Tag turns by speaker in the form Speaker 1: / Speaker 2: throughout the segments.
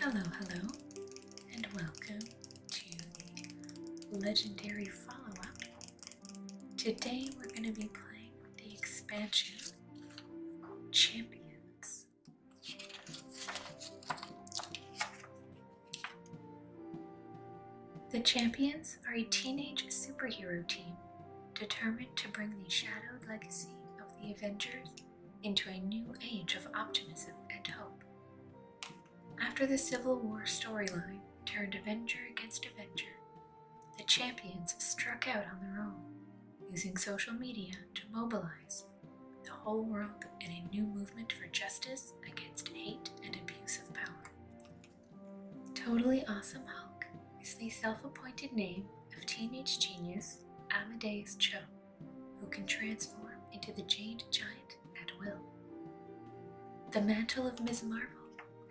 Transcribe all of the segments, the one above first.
Speaker 1: Hello, hello, and welcome to the legendary follow up. Today we're going to be playing the expansion Champions. The Champions are a teenage superhero team determined to bring the shadowed legacy of the Avengers into a new age of optimism and hope. After the Civil War storyline turned Avenger against Avenger, the champions struck out on their own, using social media to mobilize the whole world in a new movement for justice against hate and abuse of power. Totally Awesome Hulk is the self appointed name of teenage genius Amadeus Cho who can transform into the Jade Giant at will. The mantle of Ms. Marvel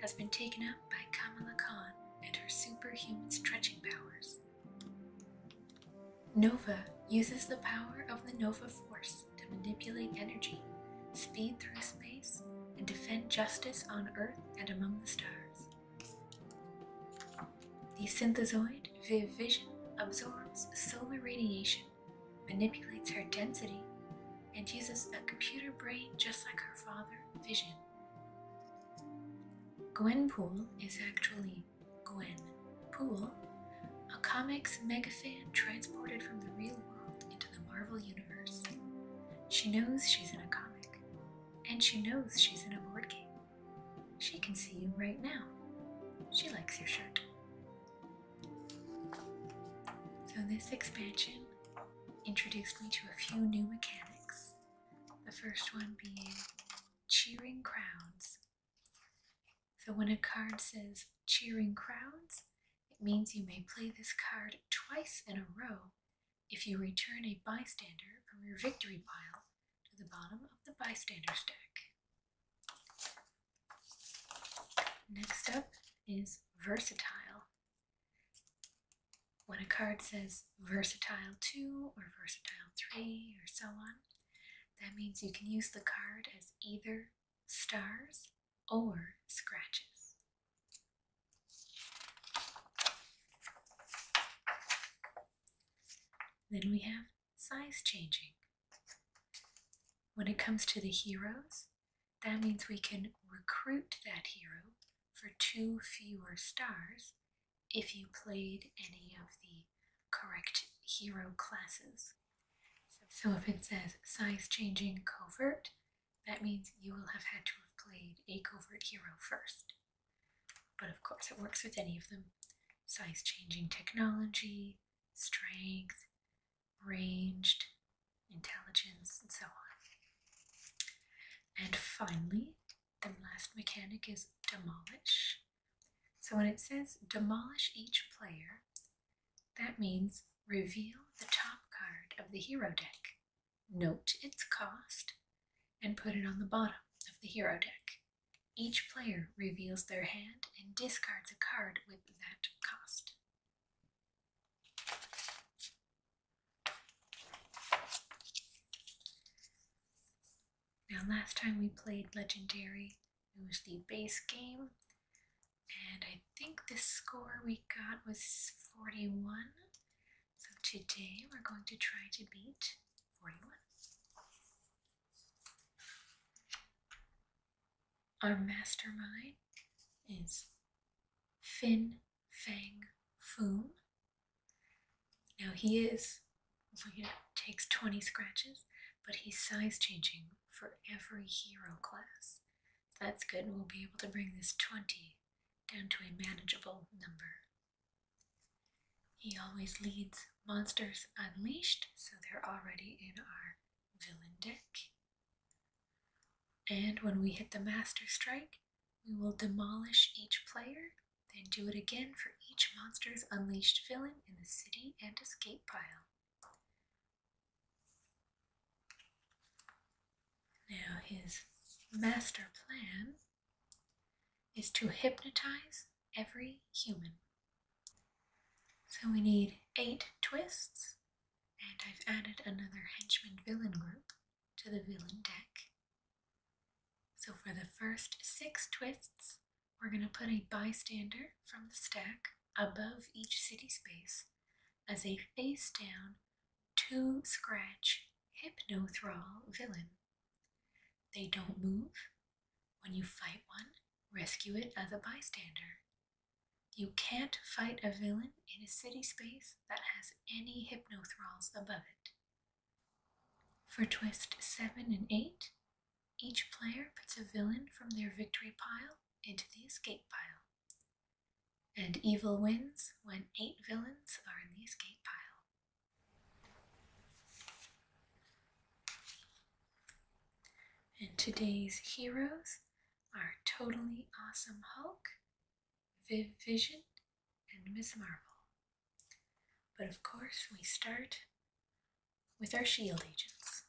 Speaker 1: has been taken up by Kamala Khan and her superhuman stretching powers. Nova uses the power of the Nova Force to manipulate energy, speed through space, and defend justice on Earth and among the stars. The synthesoid Vivision absorbs solar radiation, manipulates her density, and uses a computer brain just like her father, Vision. Gwenpool is actually Gwen Pool, a comics megafan transported from the real world into the Marvel Universe. She knows she's in a comic, and she knows she's in a board game. She can see you right now. She likes your shirt. So, this expansion introduced me to a few new mechanics. The first one being cheering crowds. So, when a card says cheering crowds, it means you may play this card twice in a row if you return a bystander from your victory pile to the bottom of the bystander's deck. Next up is versatile. When a card says versatile 2 or versatile 3 or so on, that means you can use the card as either stars or scratches. Then we have size changing. When it comes to the heroes, that means we can recruit that hero for two fewer stars if you played any of the correct hero classes. So if it says size changing covert, that means you will have had to have played a covert hero first. But of course it works with any of them, size changing technology, strength, ranged, intelligence, and so on. And finally, the last mechanic is demolish. So when it says demolish each player, that means reveal the top card of the hero deck, note its cost, and put it on the bottom of the hero deck. Each player reveals their hand and discards a card with that cost. Now, last time we played Legendary, it was the base game, and I think the score we got was 41. So today we're going to try to beat 41. Our mastermind is Fin Fang Foom. Now he is, you takes 20 scratches, but he's size changing for every hero class. That's good. We'll be able to bring this 20 down to a manageable number. He always leads Monsters Unleashed, so they're already in our villain deck. And when we hit the Master Strike, we will demolish each player, then do it again for each Monsters Unleashed villain in the city and escape pile. Now his master plan is to hypnotize every human. So we need eight twists, and I've added another henchman villain group to the villain deck. So for the first six twists, we're going to put a bystander from the stack above each city space as a face down, two scratch, hypno thrall villain. They don't move, when you fight one, rescue it as a bystander. You can't fight a villain in a city space that has any hypnothralls above it. For twist 7 and 8, each player puts a villain from their victory pile into the escape pile. And evil wins when 8 villains are in the escape pile. And today's heroes are Totally Awesome Hulk, Viv Vision, and Ms. Marvel. But of course, we start with our shield agents.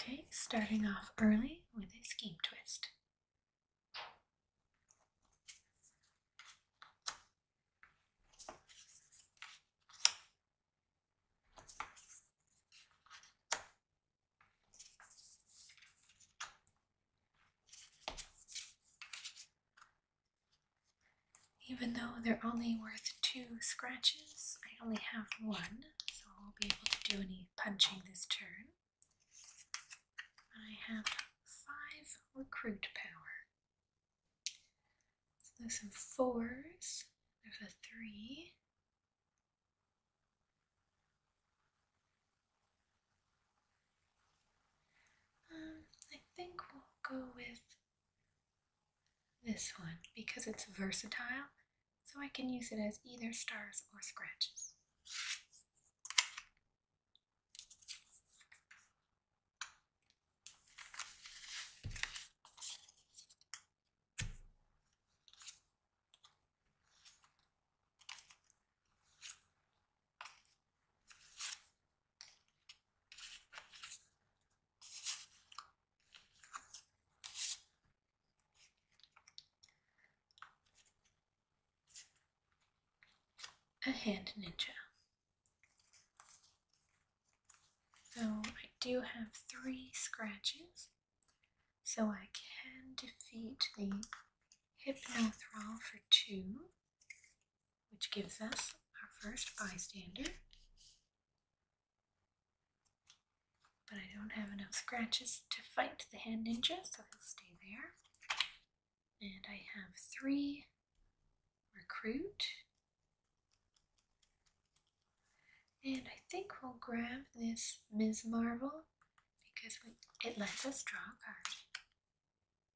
Speaker 1: Okay, starting off early with a scheme twist. Even though they're only worth two scratches, I only have one, so I'll be able to do any punching this turn. I have five recruit power. So there's some fours, there's a three, um, I think we'll go with this one because it's versatile, so I can use it as either stars or scratches. A hand ninja. So I do have three scratches, so I can defeat the Hypnothrall for two which gives us our first bystander. But I don't have enough scratches to fight the hand ninja, so he'll stay there. And I have three recruit. And I think we'll grab this Ms. Marvel because it lets us draw cards.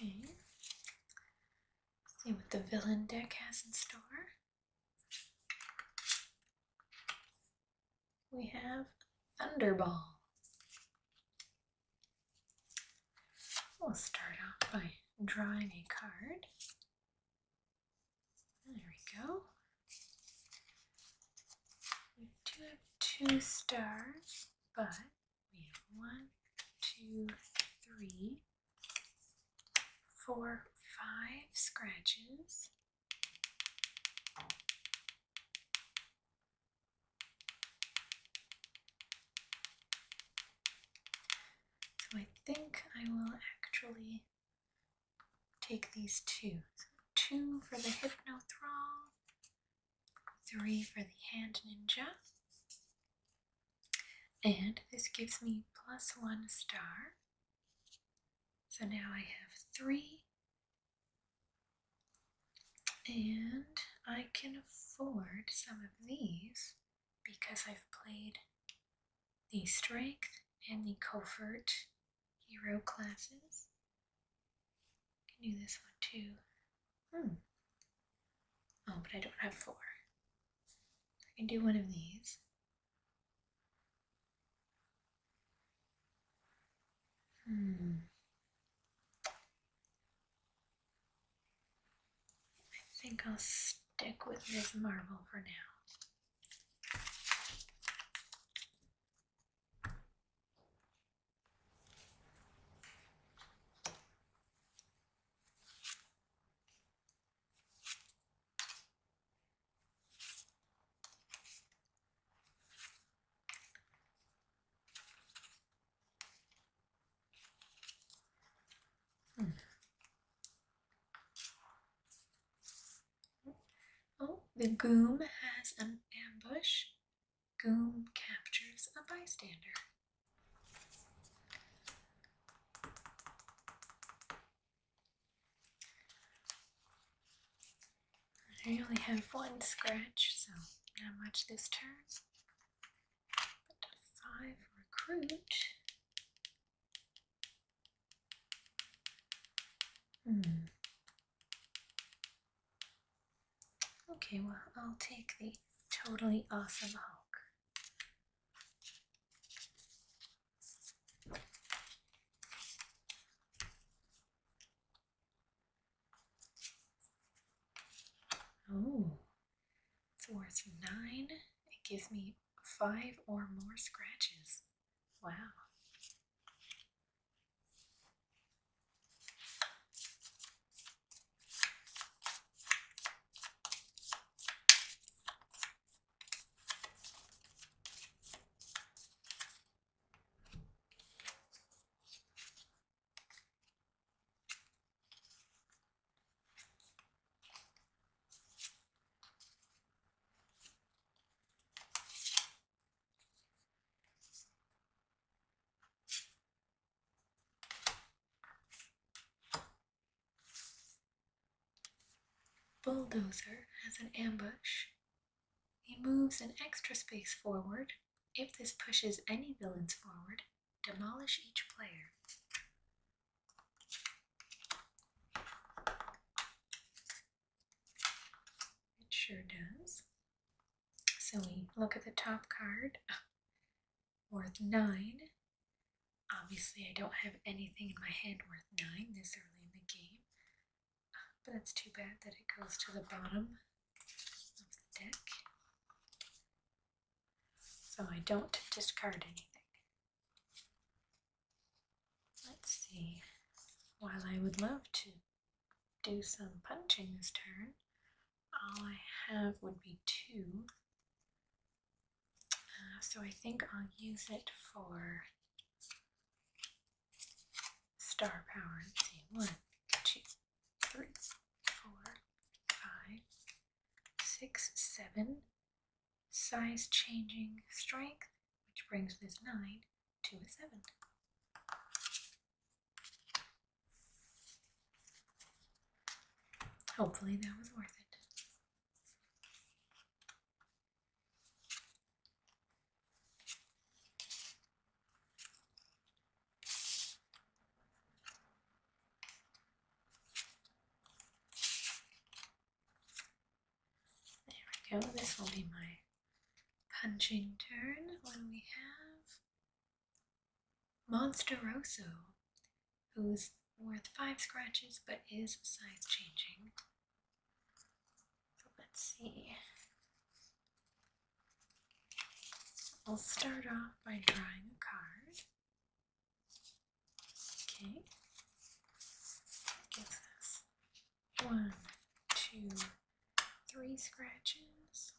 Speaker 1: Okay, see what the villain deck has in store we have Thunderball. We'll start off by drawing a card. There we go. We do have two stars, but we have one, two, three, four, five scratches, so I think I will actually take these two. So two for the Hypnothral, three for the Hand Ninja, and this gives me plus one star. So now I have three and I can afford some of these because I've played the Strength and the Covert Hero classes. I can do this one too. Hmm. Oh, but I don't have four. I can do one of these. Hmm. I think I'll stick with this marble for now. Hmm. Oh, the goom has an ambush. Goom captures a bystander. I only have one scratch, so not much this turn. But five recruit. Hmm. Okay, well, I'll take the totally awesome Hulk. Oh, it's worth nine. It gives me five or more scratches. Wow. Bulldozer has an ambush he moves an extra space forward. If this pushes any villains forward, demolish each player. It sure does. So we look at the top card, worth 9. Obviously, I don't have anything in my hand worth 9 this early in the game, but that's too bad that it goes to the bottom of the deck. So I don't discard anything. Let's see. While I would love to do some punching this turn, all I have would be two. Uh, so I think I'll use it for star power one, two, three, four, five, six, seven. Size changing strength, which brings this nine to a seven. Hopefully that was worth it. There we go, this will be my punching turn when we have Monsteroso, who's worth five scratches but is size changing. let's see. I'll start off by drawing a card. Okay. one, two, three scratches,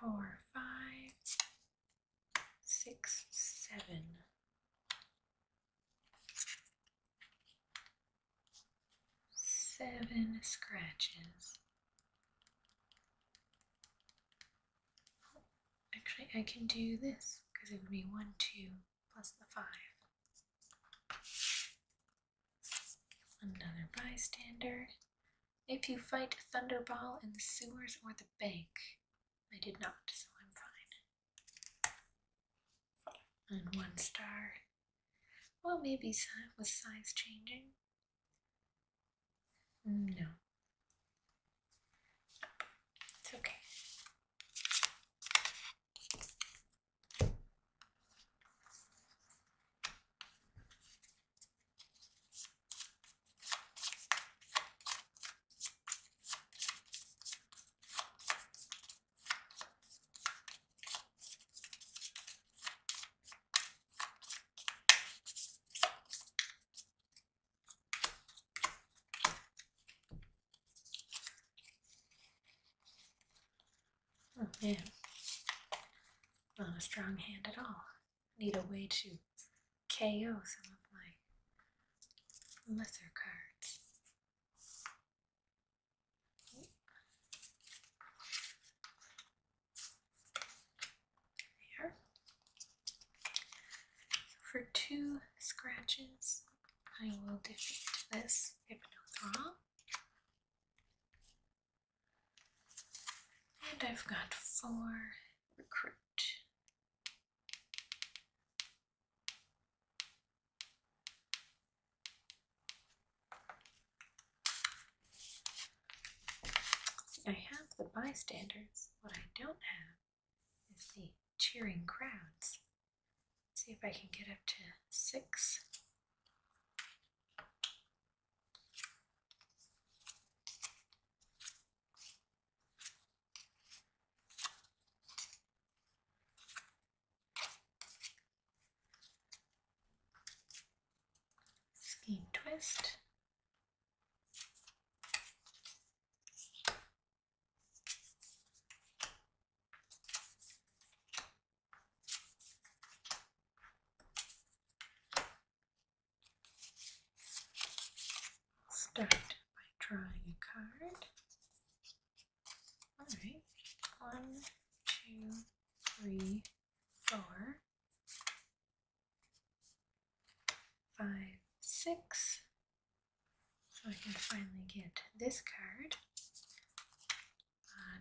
Speaker 1: four, five, six, seven seven scratches. actually, I can do this because it would be one, two plus the five. Another bystander. If you fight Thunderball in the sewers or the bank, I did not, so I'm fine and one star. Well, maybe with size changing. No. It's okay. Oh man, not a strong hand at all. Need a way to KO some of my lesser cards. There. For two scratches, I will defeat this Hypnothra. And I've got four recruit. I have the bystanders. What I don't have is the cheering crowds. see if I can get up to six skein twist Start by drawing a card. All right, one, two, three, four, five, six. So I can finally get this card.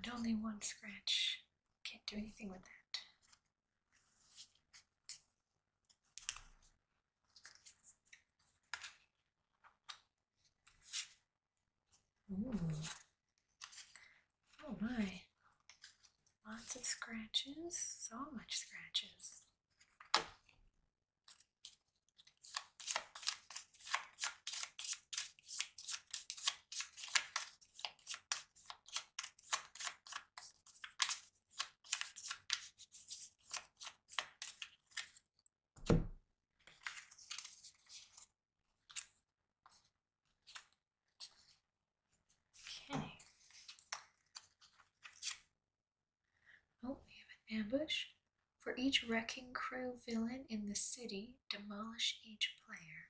Speaker 1: And only one scratch. Can't do anything with that. Ooh. Oh my. Lots of scratches. So much scratches. Okay. Oh, we have an ambush. For each wrecking crew villain in the city, demolish each player.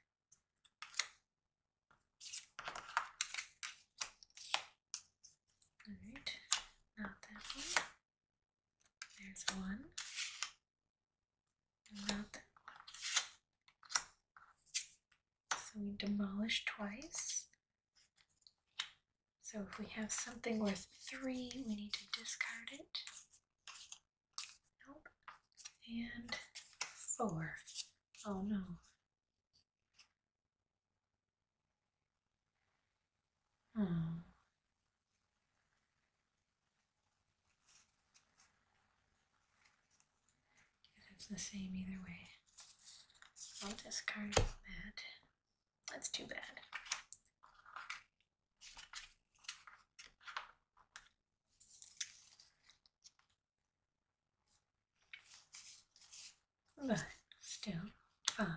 Speaker 1: Alright, not that one. There's one. Not So we demolish twice. So if we have something worth three, we need to discard it. Nope. And four. Oh no. Hmm. It's the same either way. I'll discard that. That's too bad. But still, five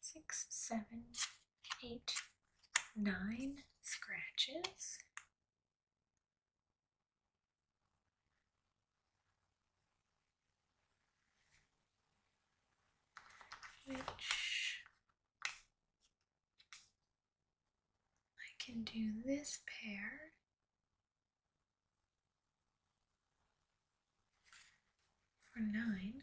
Speaker 1: six, seven, eight, nine scratches. Which I can do this pair. For nine,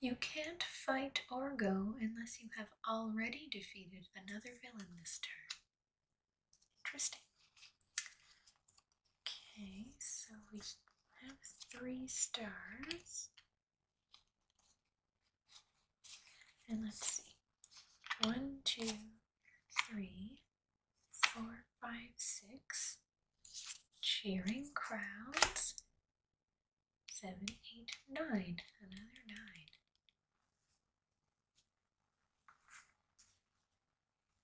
Speaker 1: You can't fight or go unless you have already defeated another villain this turn. Interesting. Okay, so we have three stars. And let's see. One, two, three, four, five, six. Cheering crowds seven, eight, nine. Another nine.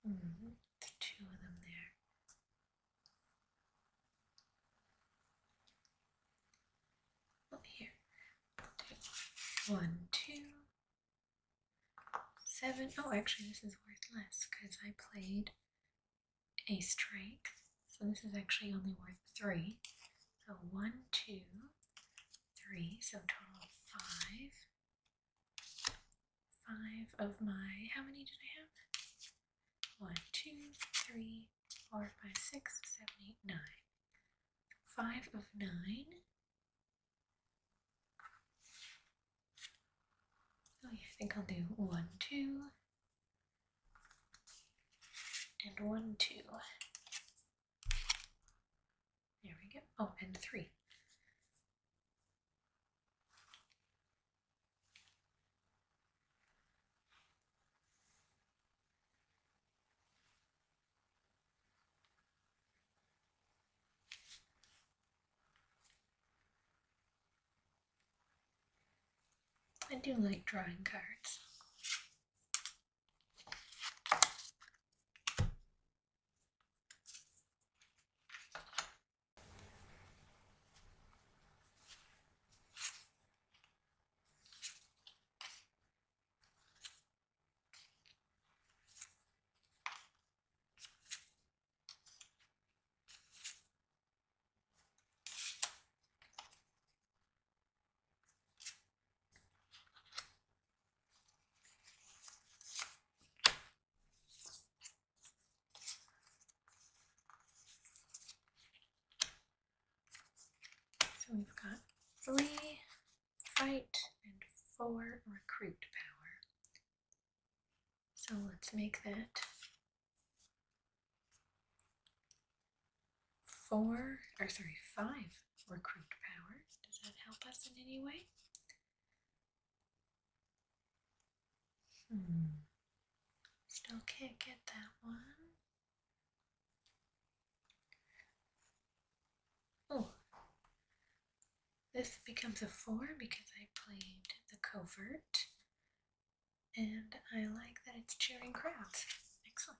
Speaker 1: -hmm. two of them there. Up oh, here. One, two, seven. Oh, actually, this is worth less because I played a strike. So this is actually only worth three. So one, two, three, so total five. Five of my, how many did I have? One, two, three, four, five, six, seven, eight, nine. Five of nine. Oh yeah, I think I'll do one, two, and one, two. There we go. Oh, and three. I do like drawing cards. So we've got three fight and four recruit power. So let's make that four, or sorry, five recruit power. Does that help us in any way? Hmm. Still can't get that one. Oh, this becomes a four because I played the covert. And I like that it's cheering crowds. Excellent.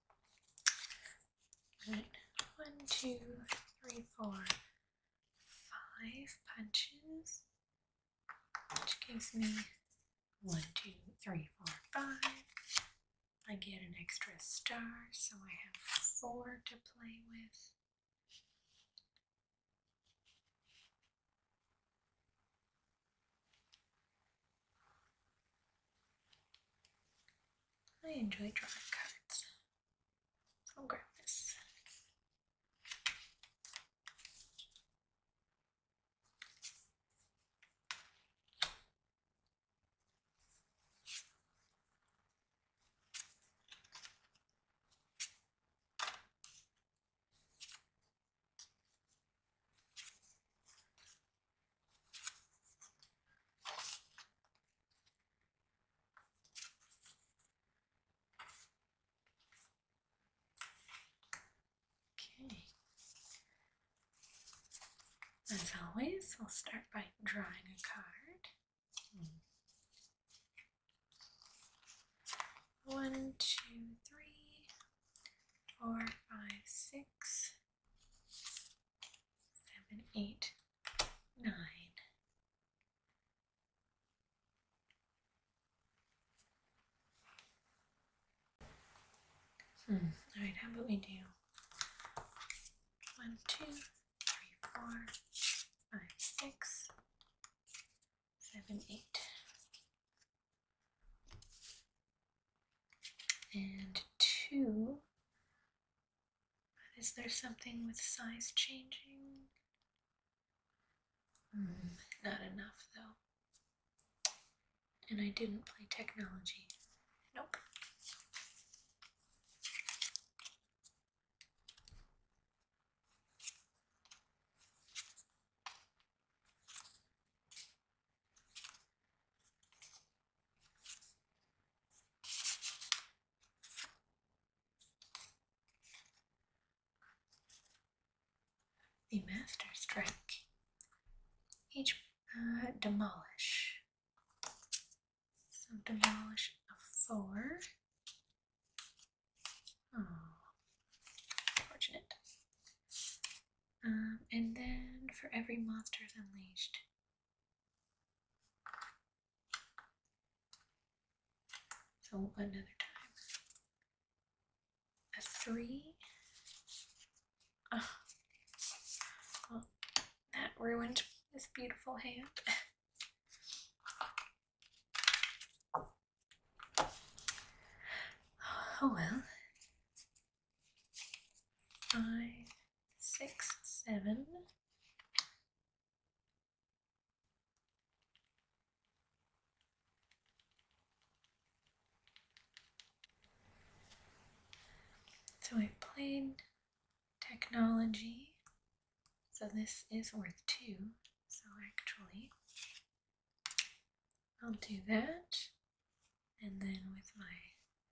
Speaker 1: One, two, three, four, five punches, which gives me one, two, three, four, five. I get an extra star, so I have four to play with. I enjoy drawing cards. I'll Okay. As always, I'll start by drawing a card. One, two, three, four, five, six, seven, eight, nine. Hmm, All right, how about we do one, two, three, four, five, six, seven, eight. And two, is there something with size changing? Hmm, not enough though. And I didn't play technology. Nope. The master's strike. Each uh, demolish. So demolish a four. Oh, fortunate. Um, and then for every monster unleashed. So another time. A three. Oh. that ruined this beautiful hand. oh well five, six, seven. So I've played technology, so this is worth two, so actually I'll do that, and then with my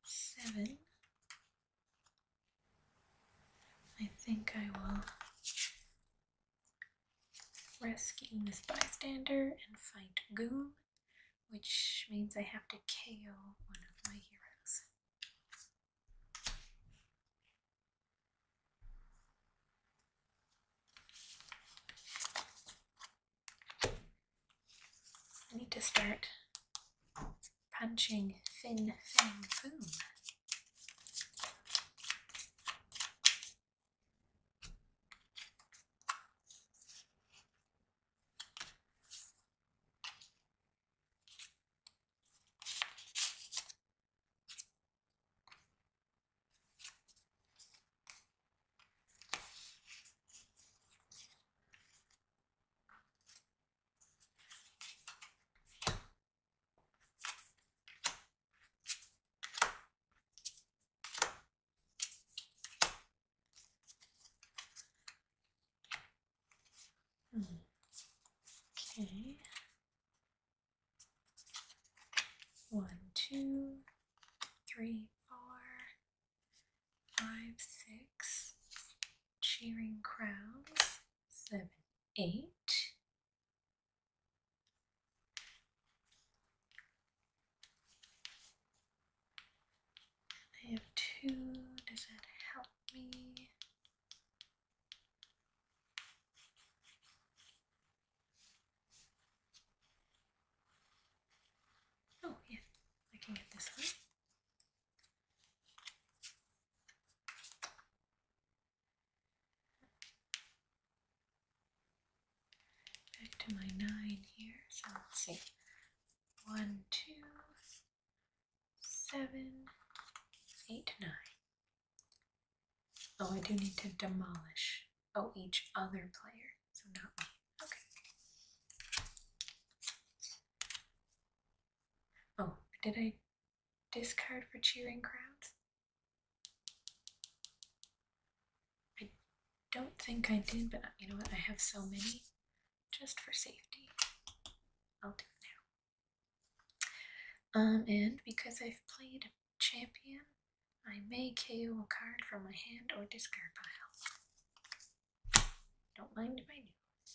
Speaker 1: seven, I think I will rescue this bystander and fight Goon, which means I have to KO one of my heroes. I need to start punching thin fang boom. Okay. One, two, three, four, five, six, cheering crowds, seven, eight. I have two, does that help me? Oh, yeah, I can get this one. Back to my nine here. So let's see. One, two, seven, eight, nine. Oh, I do need to demolish oh each other player. So not Okay. Oh, did I discard for cheering crowds? I don't think I did, but you know what? I have so many. Just for safety, I'll do now. Um, and because I've played champion, I may KO a card from my hand or discard pile. Don't mind my nose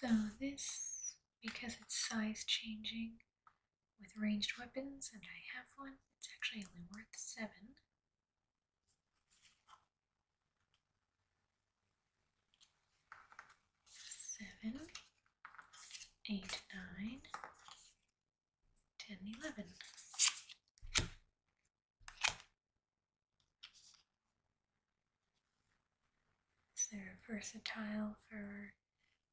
Speaker 1: So this, because it's size changing with ranged weapons, and I have one, it's actually only worth 7. Is they're versatile for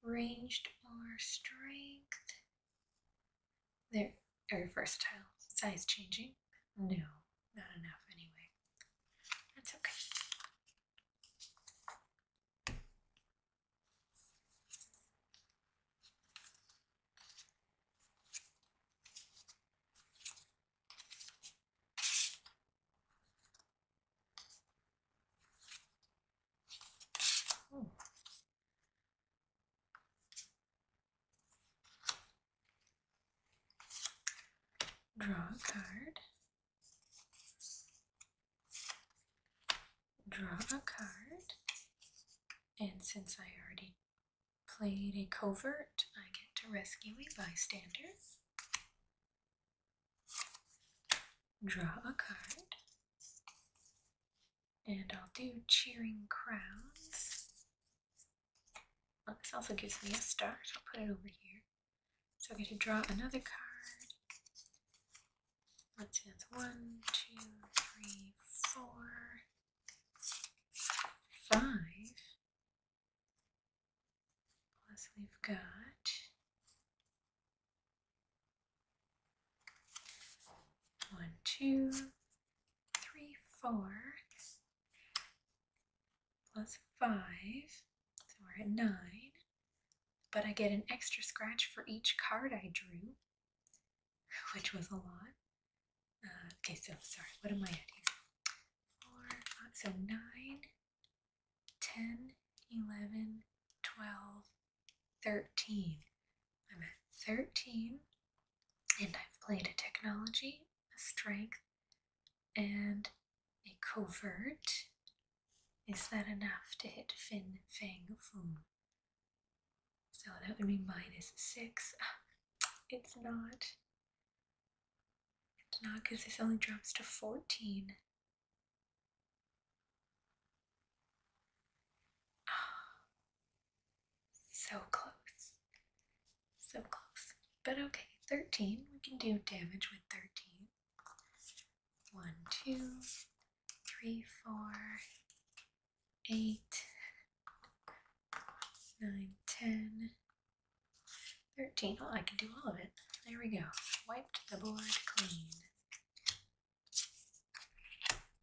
Speaker 1: ranged or strength. They're very versatile. Size changing? No, not enough anyway. That's okay draw a card, draw a card, and since I already played a covert, I get to rescue a bystander, draw a card, and I'll do Cheering crowds. Well, this also gives me a star, so I'll put it over here. So I get to draw another card. Let's see, that's one, two, three, four five. Plus, we've got one, two, three, four. Plus five, so we're at nine. But I get an extra scratch for each card I drew which was a lot. Uh, okay, so sorry, what am I at here? Four, five, so 9, 10, 11, 12, 13. I'm at 13, and I've played a technology, a strength, and a covert. Is that enough to hit Fin Fang Foom? So that would be minus 6. Ah, it's not. It's not because this only drops to 14. Oh, so close. So close. But okay, 13. We can do damage with 13. two, three, four eight, nine, ten, thirteen. Well, oh, I can do all of it. There we go. Wiped the board clean.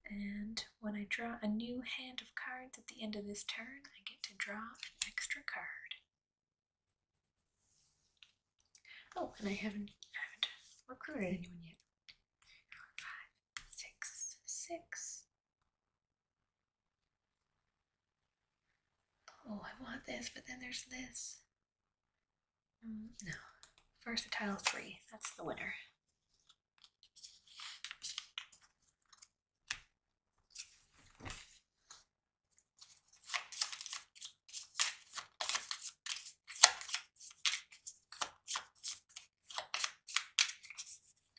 Speaker 1: And when I draw a new hand of cards at the end of this turn, I get to draw an extra card. Oh, and I haven't, I haven't recruited anyone yet. Five, six, six, Oh, I want this, but then there's this. Mm, no. tile 3. That's the winner.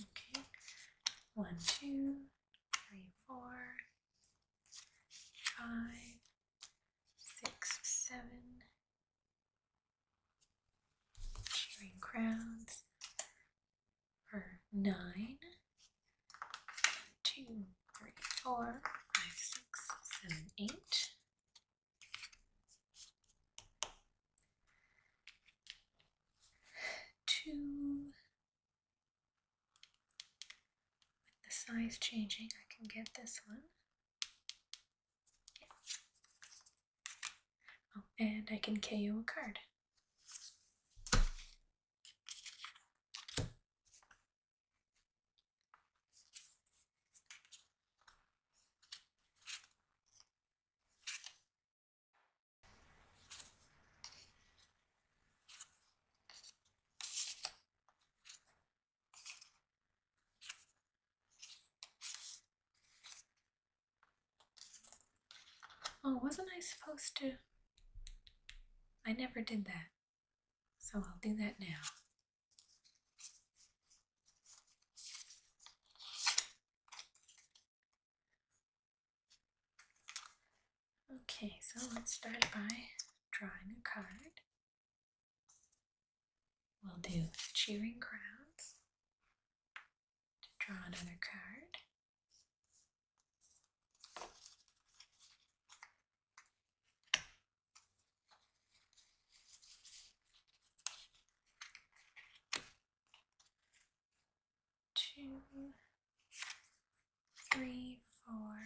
Speaker 1: Okay, one, two, three, four, five, six, seven, chewing crowns for nine two, three, four, five, six, seven, eight. Two. With the size changing, I can get this one. Oh, and I can you a card. Oh, wasn't I supposed to? I never did that. So I'll do that now. Okay, so let's start by drawing a card. We'll do cheering crowds to draw another card. Two, three, four.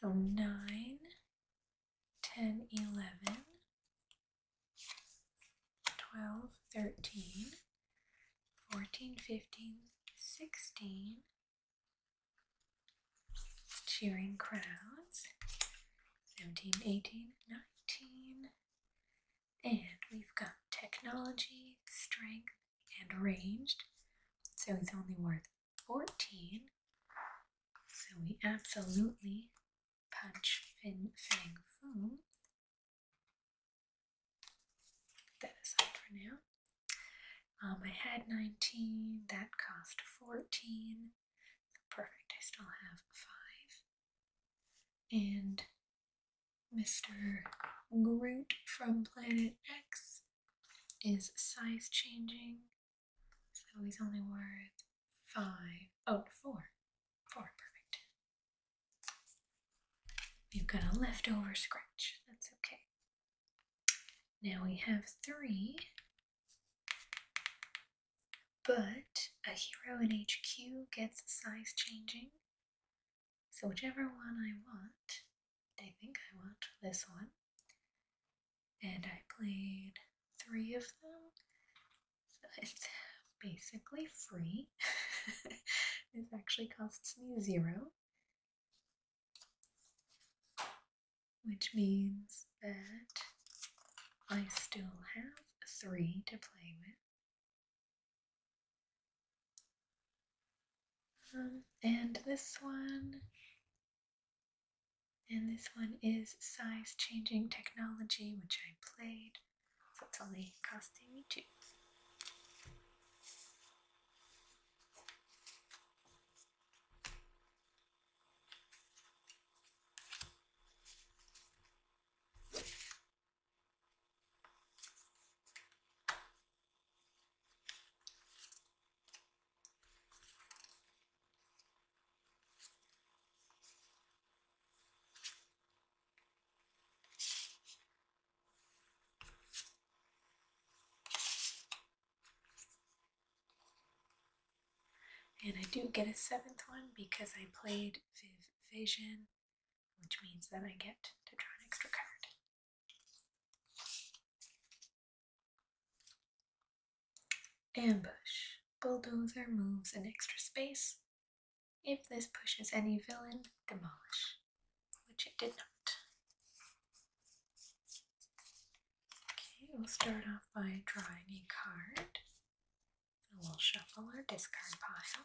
Speaker 1: So nine, ten, eleven, 12, 13, 14, 15, 16, cheering crowds, 17, 18, 19, and we've got technology, strength, and ranged, so he's only worth 14, so we absolutely punch fin fang foom. that aside for now. Um, I had 19, that cost 14. perfect, I still have 5. And Mr. Groot from Planet X is size changing so he's only worth five. Oh, perfect. We've got a leftover scratch. That's okay. Now we have three. But a hero in HQ gets size changing. So whichever one I want, I think I want this one. And I played three of them. So it's basically free. This actually costs me zero. Which means that I still have three to play with. Um, and this one and this one is size changing technology, which I played, so it's only costing me two. And I do get a seventh one because I played Viv Vision, which means that I get to draw an extra card. Ambush. Bulldozer moves an extra space. If this pushes any villain, demolish, which it did not. Okay, we'll start off by drawing a card. And we'll shuffle our discard pile.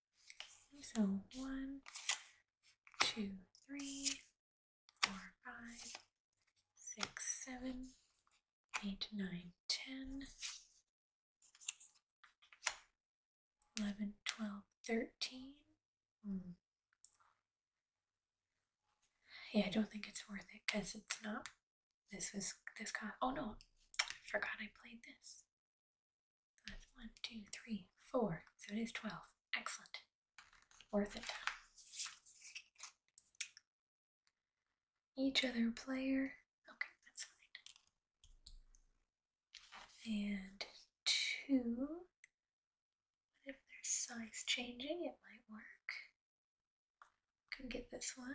Speaker 1: So one, two, three, four, five, six, seven, eight, nine, ten, eleven, twelve, thirteen. Hmm. Yeah, I don't think it's worth it because it's not. This was this card. Oh no, I forgot I played this. That's one, two, three, four. So it is 12. Excellent. Worth it. Each other player. Okay, that's fine. And two. What if there's size changing? It might work. Can get this one.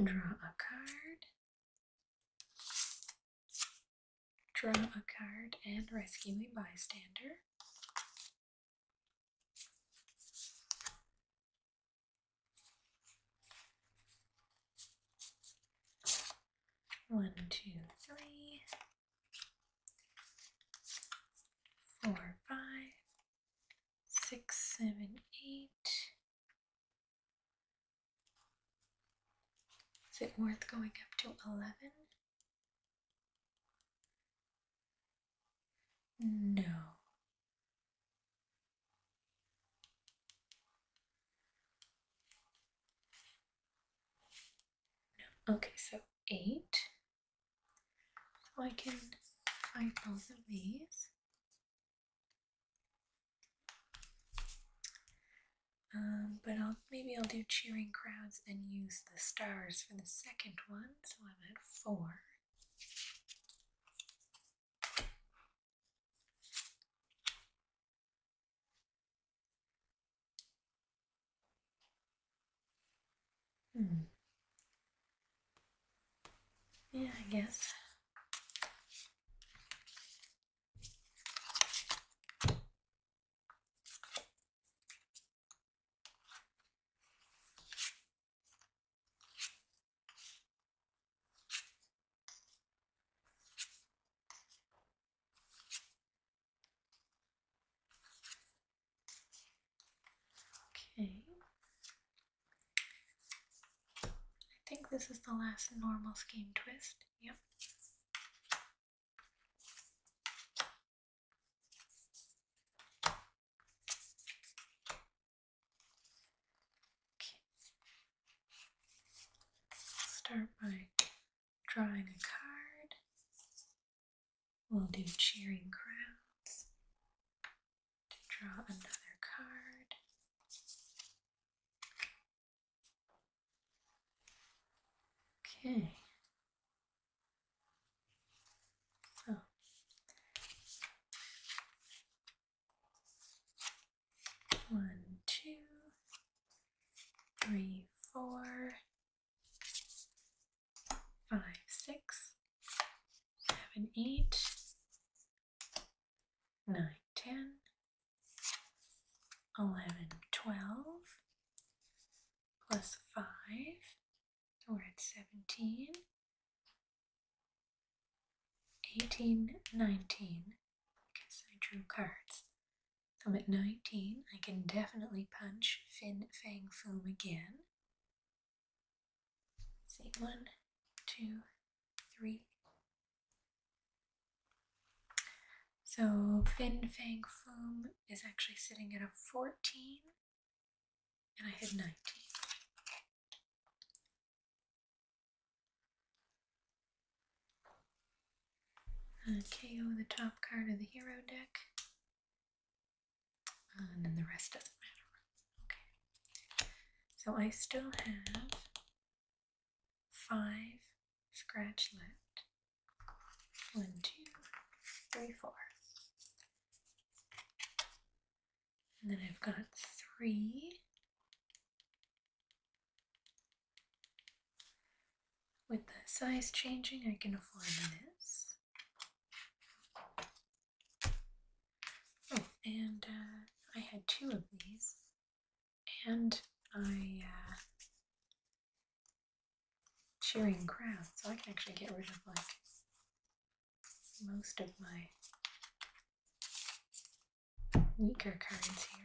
Speaker 1: Draw a card. Draw a card and rescue a bystander. One, two, three four, five, six, seven, eight. Is it worth going up to 11? No. no. Okay, so 8. I can find both of these. Um, but I'll maybe I'll do cheering crowds and use the stars for the second one, so I'm at four. Hmm. Yeah, I guess. Okay. I think this is the last normal scheme twist. Yep. Okay. Start by drawing a card. We'll do cheering crowds to draw another card. Okay. So oh. one, two, three, four, five, six, seven, eight, nine, ten, eleven, twelve, plus five, so we're at seventeen, eighteen, nineteen. Guess I drew cards. I'm at nineteen. I can definitely punch Fin Fang Foom again. Say one, two, three. So Fin Fang Foom is actually sitting at a 14 and I had 19. Okay. Uh, KO the top card of the hero deck and then the rest doesn't matter. Okay, so I still have five scratch left. One, two, three, four. And then I've got three With the size changing, I can afford this. Oh, and uh, I had two of these, and I uh, cheering crowd, so I can actually get rid of like most of my weaker cards here.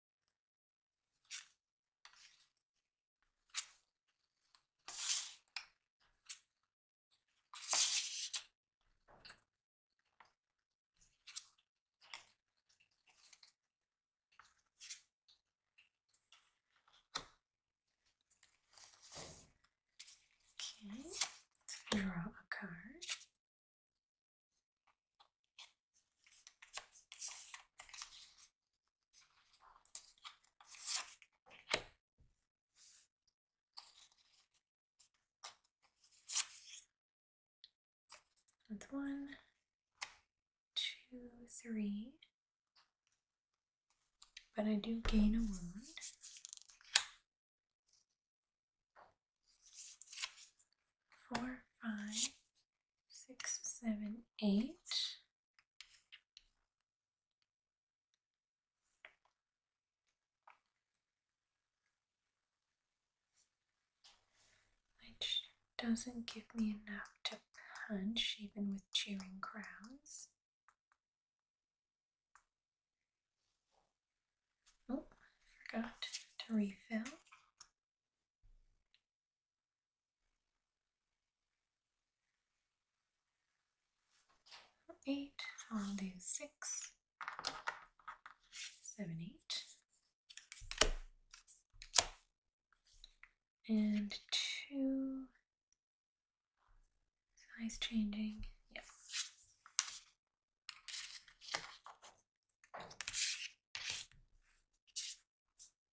Speaker 1: Okay, draw a card. That's one, two, three. But I do gain a wound. Four, five, six, seven, eight. Which doesn't give me enough to punch, even with cheering crowds. Oh, forgot to refill. Eight, I'll do six, seven, eight, and two, size changing, yep.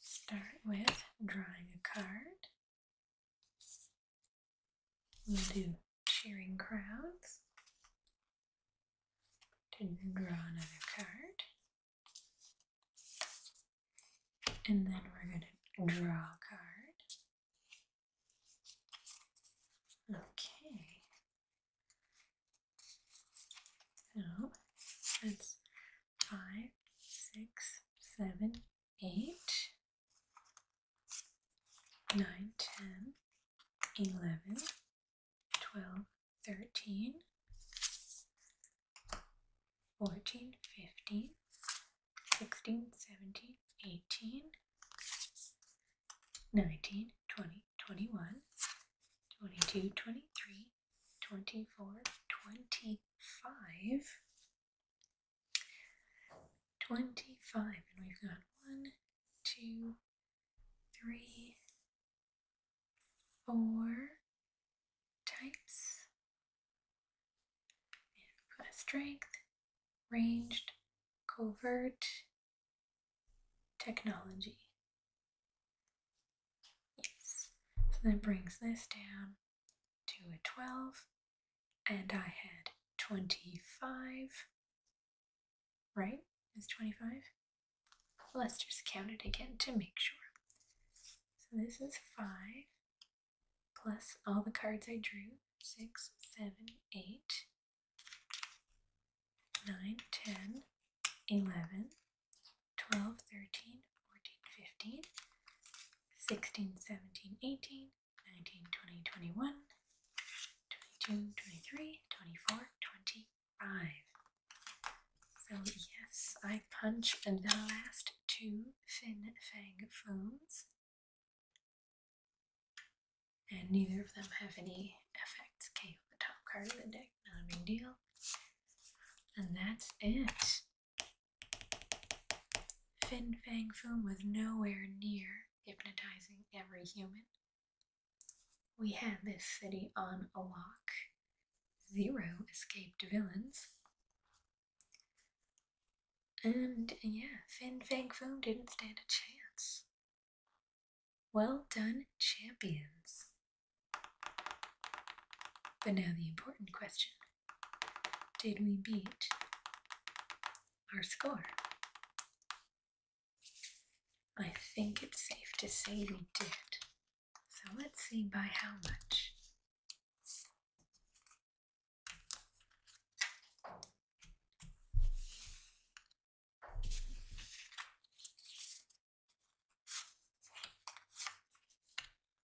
Speaker 1: Start with drawing a card. We'll do cheering crowds to draw another card. And then we're going to draw a card. Okay. So let's five, six, seven, eight, nine, ten, eleven, twelve, thirteen, fourteen, fifteen, sixteen, seventeen, eighteen, nineteen, twenty, twenty-one, twenty-two, twenty-three. 24, 25, 25, and we've got one, two, three, four types. And we've got strength, ranged, covert, technology. Yes, so that brings this down to a 12, and I had 25, right? Is 25. Let's just count it again to make sure. So this is 5 plus all the cards I drew 6, 7, 8, 9, 10, 11, 12, 13, 14, 15, 16, 17, 18, 19, 20, 21, 22, 23, 24, 25. So yes, I punched the last two Fin Fang phones. And neither of them have any effects. Okay, the top card of the deck, not a big deal. And that's it. Fin Fang Foom was nowhere near hypnotizing every human. We had this city on a lock. Zero escaped villains. And yeah, Fin Fang Foom didn't stand a chance. Well done, champions. But now the important question. Did we beat our score? I think it's safe to say we did. So let's see by how much.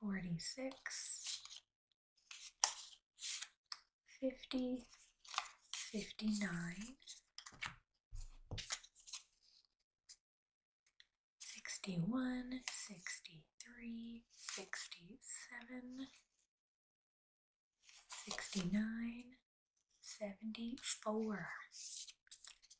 Speaker 1: 46, 50, 59, 61, 63, 67, 69, 74.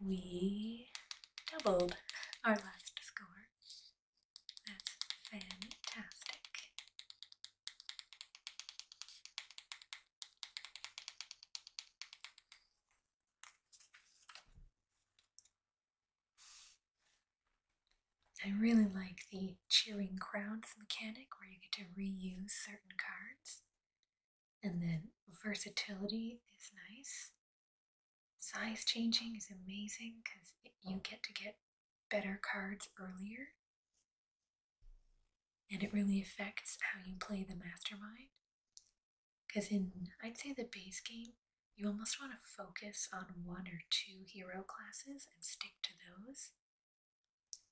Speaker 1: We doubled our last score. That's fantastic. I really like the cheering crowds mechanic where you get to reuse certain cards. And then versatility is nice. Size changing is amazing because you oh. get to get better cards earlier. And it really affects how you play the mastermind. Because in, I'd say, the base game, you almost want to focus on one or two hero classes and stick to those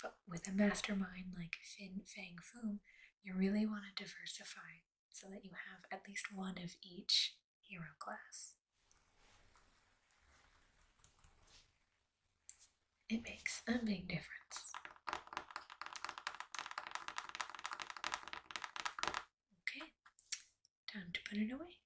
Speaker 1: but with a mastermind like Fin Fang Foom, you really want to diversify so that you have at least one of each hero class. It makes a big difference. Okay, time to put it away.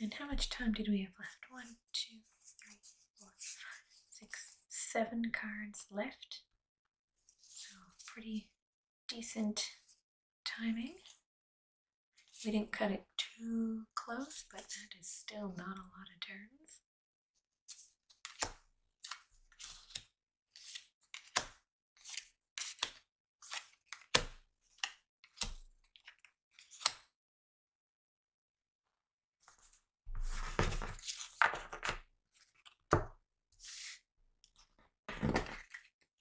Speaker 1: And how much time did we have left? One, two, three, four, six, seven cards left. So pretty decent timing. We didn't cut it too close, but that is still not a lot of turns.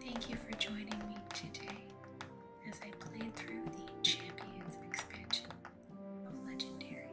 Speaker 1: Thank you for joining me today as I played through the Champions expansion of Legendary.